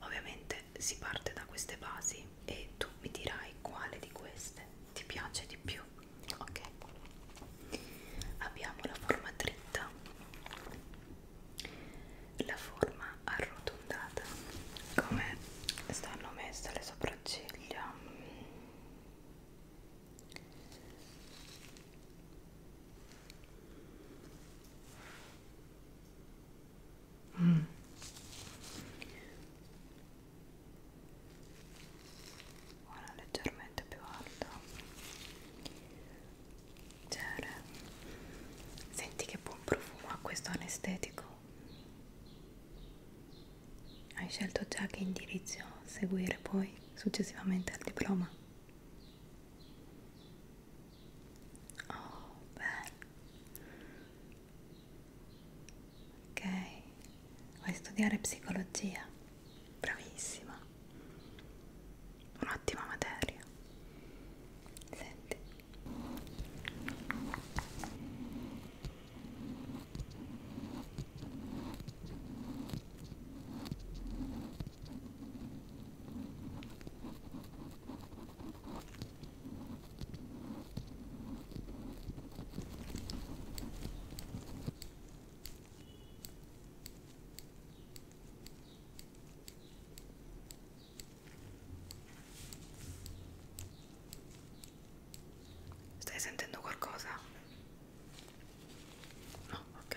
Ovviamente si parte da queste basi e tu mi dirai quale di queste ti piace di più. Ok, abbiamo la forma dritta, la forma arrotondata, come stanno messe le sopracciglia. Mm. Una leggermente più alta. Cere. Senti che buon profumo ha questo anestetico. Hai scelto già che indirizzo seguire poi successivamente al diploma? Oh, bene. Ok, vuoi studiare psicologia? Bravissima. Un'ottima materia. Senti. Stai sentendo qualcosa? No, ok.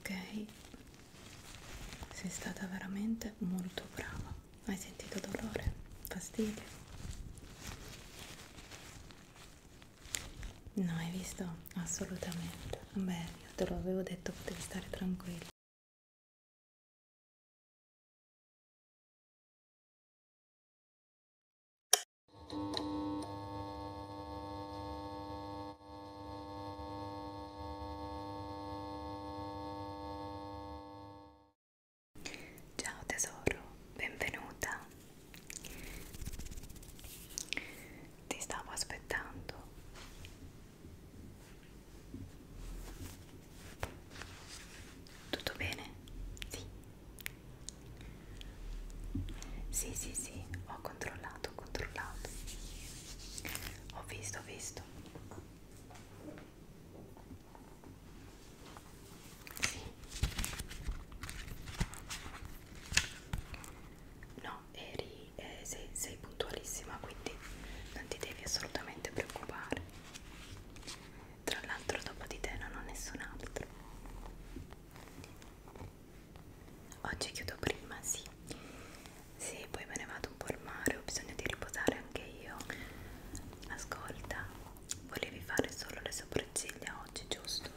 Ok, sei stata veramente molto brava. Hai sentito dolore, fastidio? No, hai visto? Assolutamente. Bene io te lo avevo detto potevi stare tranquillo Ciao tesoro, benvenuta ti stavo aspettando. Tutto bene? Sì. Sì, sì, sì, ho controllato, ho controllato. Ho visto, ho visto. Sì. No, no, eri, eh, sei, sei puntualissima quindi non ti devi assolutamente preoccupare. Tra l'altro dopo di te non ho nessun altro. Oggi chiudo prima, sì. Sì, poi me ne vado un po' al mare, ho bisogno di riposare anche io. Ascolta, volevi fare solo le sopracciglia oggi, giusto?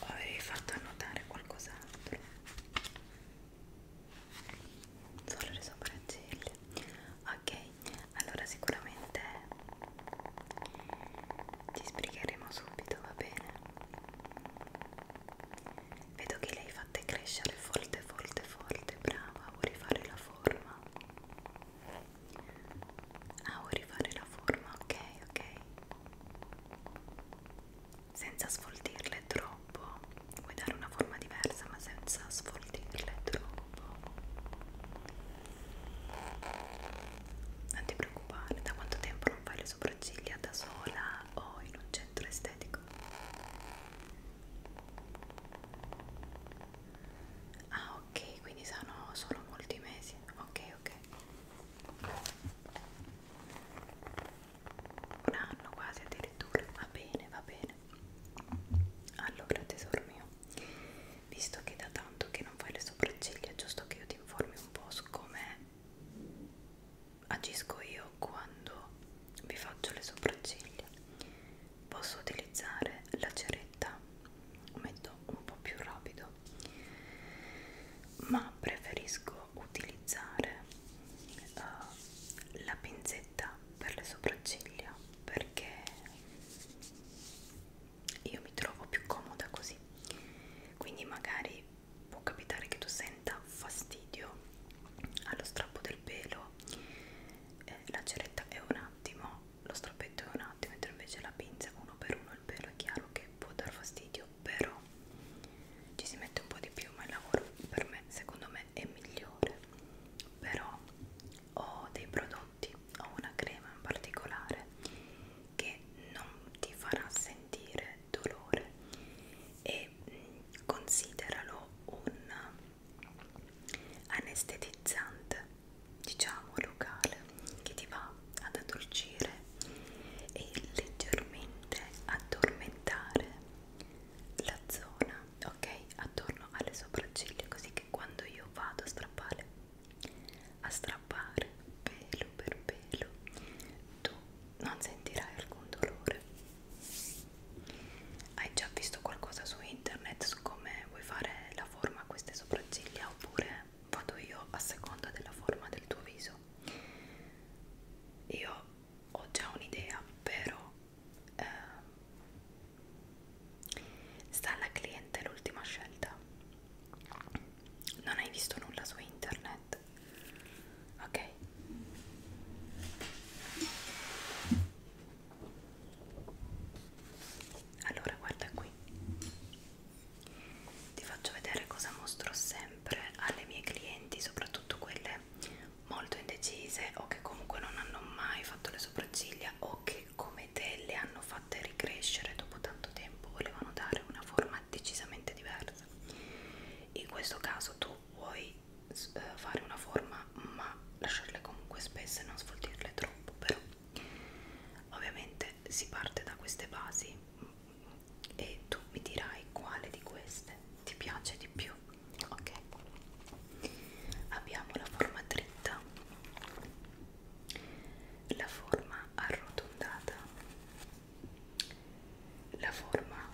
o avevi fatto annotare qualcos'altro solo le sopracciglia ok allora sicuramente ci sbrigheremo subito va bene vedo che le hai fatte crescere forte forte forte brava vuoi fare la forma Ah, vuoi rifare la forma? Ok, ok. Senza sfoltirle troppo. Vuoi dare una forma diversa ma senza sfoltirle troppo. Non ti preoccupare, da quanto tempo non fai le sopracciglia da sola o in un centro estetico? Ah, ok quindi sono solo molti mesi ok ok un anno quasi addirittura va bene va bene allora tesoro mio visto che da tanto che non fai le sopracciglia giusto che io ti informi un po' su come agisco io quando vi faccio le sopracciglia posso utilizzare la ceretta metto un po' più rapido ma preferisco utilizzare uh, la pinzetta per le sopracciglia perché io mi trovo più comoda così quindi magari può capitare che tu senta fastidio allo strappo del pelo eh, la ceretta è un attimo lo strappetto è un attimo mentre invece la pinza uno per uno il pelo è chiaro che può dar fastidio però ci si mette un po' di più ma il lavoro per me secondo me è migliore però ho dei prodotti ho una crema in particolare che non ti farà sentire dolore e mm, consideralo un anestetizzante diciamo locale che ti va ad addolcire e leggermente addormentare la zona ok attorno alle sopracciglia così che quando io vado a strappare a strappare pelo per pelo tu non sentirai alcun dolore hai già visto qualcosa su internet su come vuoi fare la forma a queste sopracciglia oppure vado io a seconda della forma del tuo viso io ho già un'idea però eh, sta alla cliente l'ultima scelta non hai visto nulla su internet ok allora guarda qui ti faccio vedere cosa mostro sempre alle mie clienti soprattutto quelle molto indecise o che comunque non hanno mai fatto le sopracciglia o che come te le hanno fatte ricrescere dopo tanto tempo volevano dare una forma decisamente diversa in questo caso tu vuoi eh, fare una forma ma, ma lasciarle comunque spesse e non sfoltirle troppo però ovviamente si parte da queste basi e tu mi dirai quale di queste ti piace di più ok abbiamo la forma dritta la forma arrotondata la forma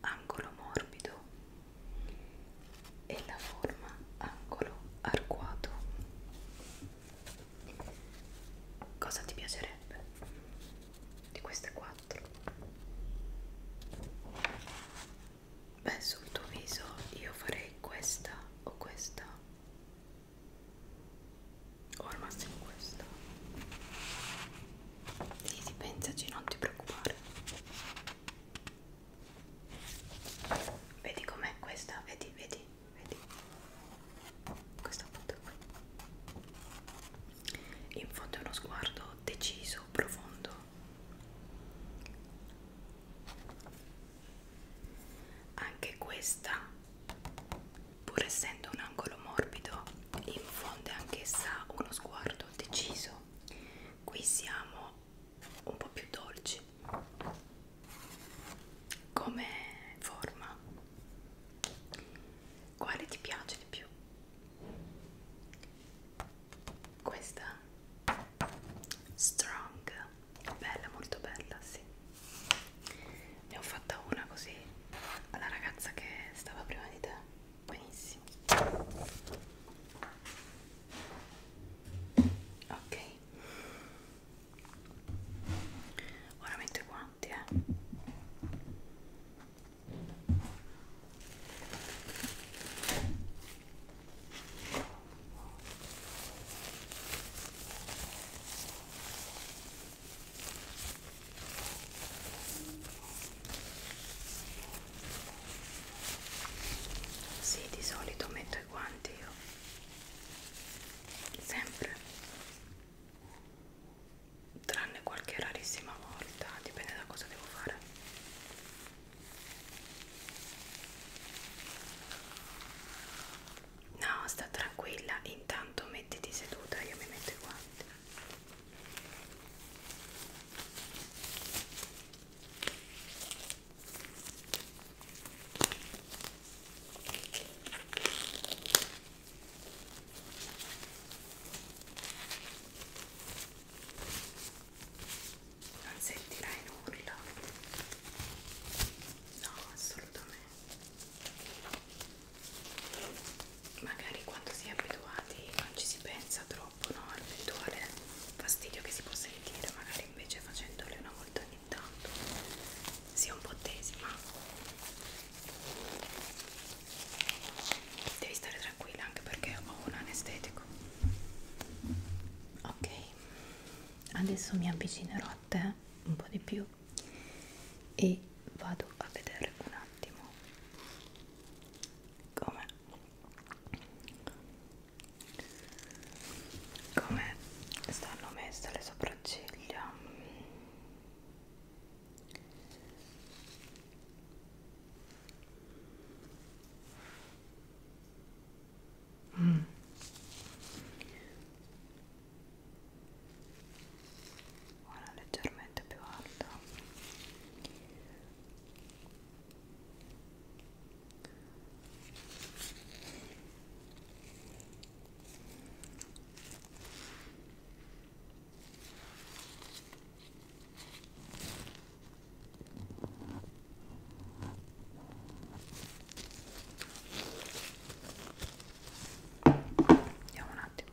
angolo morbido e la forma angolo arcuato. Cosa ti piacerebbe di queste quattro? Beh, sul tuo viso io farei questa o questa o al massimo questa. Sì, sì, pensaci, non ti preoccupare. Vedi com'è questa? Vedi, vedi, vedi. Questa foto qui. In fondo è uno sguardo deciso, profondo. Anche questa, pur essendo un angolo morbido, infonde anch'essa uno sguardo deciso. Qui siamo un po' più dolci come forma quale ti piace di più questa strong bella molto bella sì ne ho fatta una così alla ragazza che stava prima di te benissimo ok ora metto i guanti eh sì, di solito metto i guanti io. Sempre. Tranne qualche rarissima volta, dipende da cosa devo fare. No, sta tranquilla, intanto mettiti seduta, io mi metto i guanti. Non sentirai nulla? No, assolutamente. Magari quando si è abituati non ci si pensa troppo troppo, no? L'eventuale fastidio che si può sentire, magari invece facendole una volta ogni tanto sia un po' tesi, ma devi stare tranquilla anche perché ho un anestetico. Ok, adesso mi avvicinerò a te un po' di più e vado a vedere un attimo come come stanno messe le sopracciglia mm. una leggermente più alta Vediamo un attimo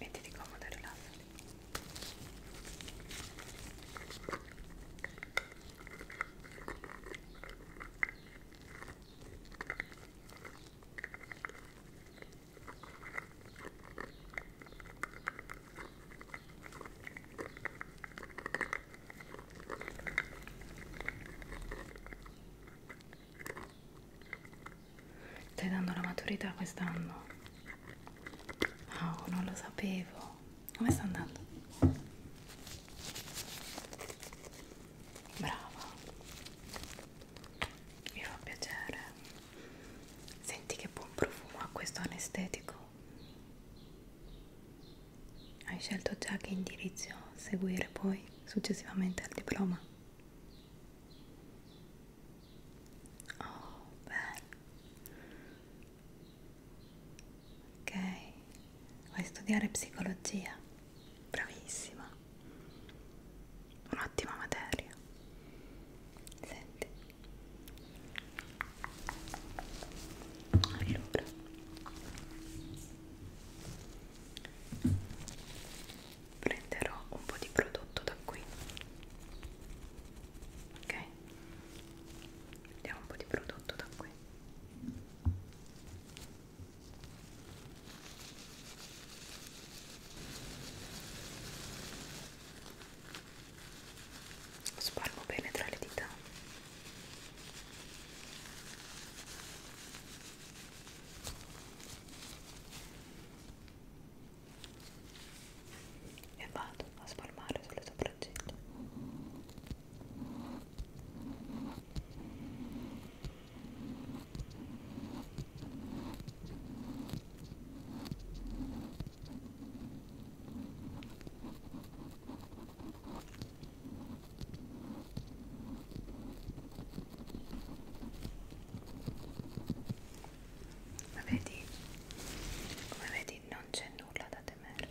mettiti comodo e rilassati Stai dando la maturità quest'anno? Oh, non lo sapevo. Come sta andando? Brava. Mi fa piacere. Senti che buon profumo ha questo anestetico. Hai scelto già che indirizzo seguire poi? poi successivamente al diploma. Oh, bello. Ok, vai a studiare psicologia. Bravissima. Un'ottima materia. Senti. Allora prenderò un po' di prodotto da qui ok prendiamo un po' di prodotto da qui spargo bene tra le dita e vado a spalmare sulle sopracciglia ma vedi, come vedi non c'è nulla da temere.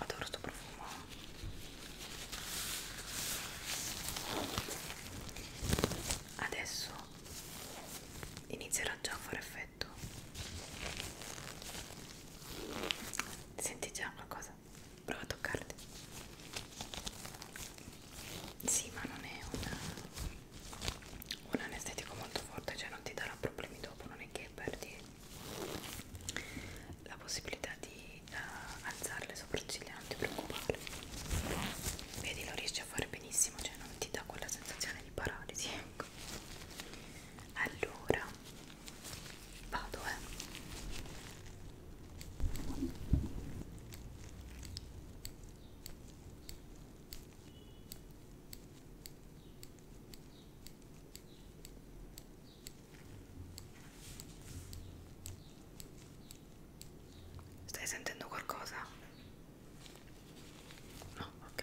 Adoro sto profumo. Adesso inizierà già a fare effetto perfetto senti già qualcosa? prova a toccarti sì ma non è una, un anestetico molto forte cioè non ti darà problemi dopo non è che perdi la possibilità di uh, eh, alzare le sopracciglia non ti preoccupare vedi lo riesci a fare benissimo cioè non ti dà quella sensazione di paralisi ecco allora vado eh Stai sentendo qualcosa? No, ok.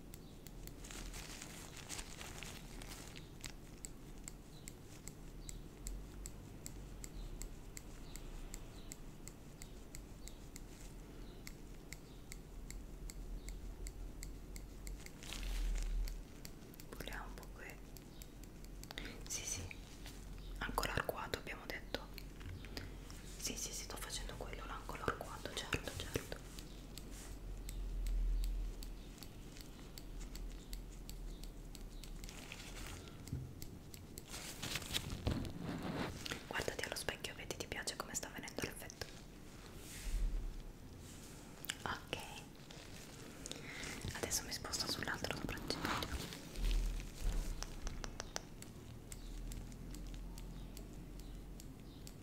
Vogliamo un po' qui. Sì, sì. Ancora arcuato abbiamo detto. Sì, sì, sì, sto facendo quello, l'ancora arcuato, certo, certo. Guardati allo specchio, vedi ti piace come sta venendo l'effetto. Ok, adesso mi sposto sull'altro sopracciglio.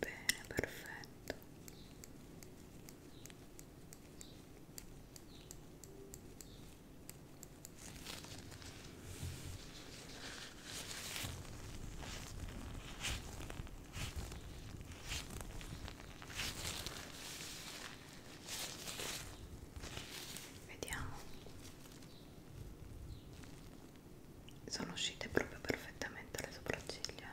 Bene, perfetto vediamo sono uscite proprio perfettamente le sopracciglia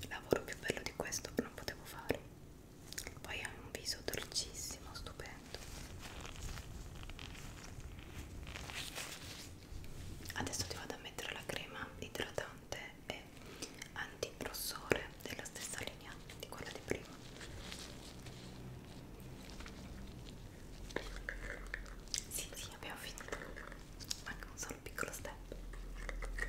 il lavoro più bello di questo non potevo fare poi ha un viso dolcissimo stupendo adesso ti vado a mettere la crema idratante è antiprossore della stessa linea di quella di prima sì sì abbiamo finito manca un solo piccolo step ok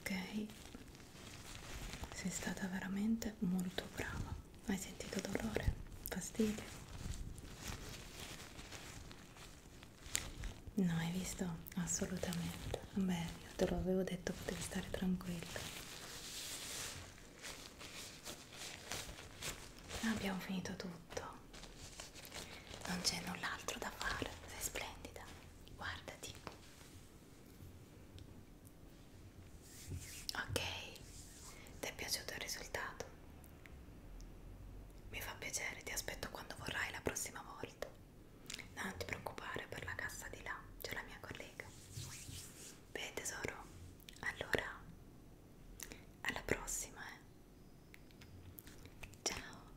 ok sei stata veramente molto brava hai sentito dolore fastidio no hai visto assolutamente beh io te lo avevo detto potevi stare tranquilla abbiamo finito tutto non c'è null'altro da fare sei splendida guardati Ok, ti è piaciuto il risultato? Mi fa piacere, ti aspetto quando vorrai la prossima volta. No, non ti preoccupare per la cassa di là, c'è la mia collega. Bene tesoro, allora alla prossima. Eh. Ciao.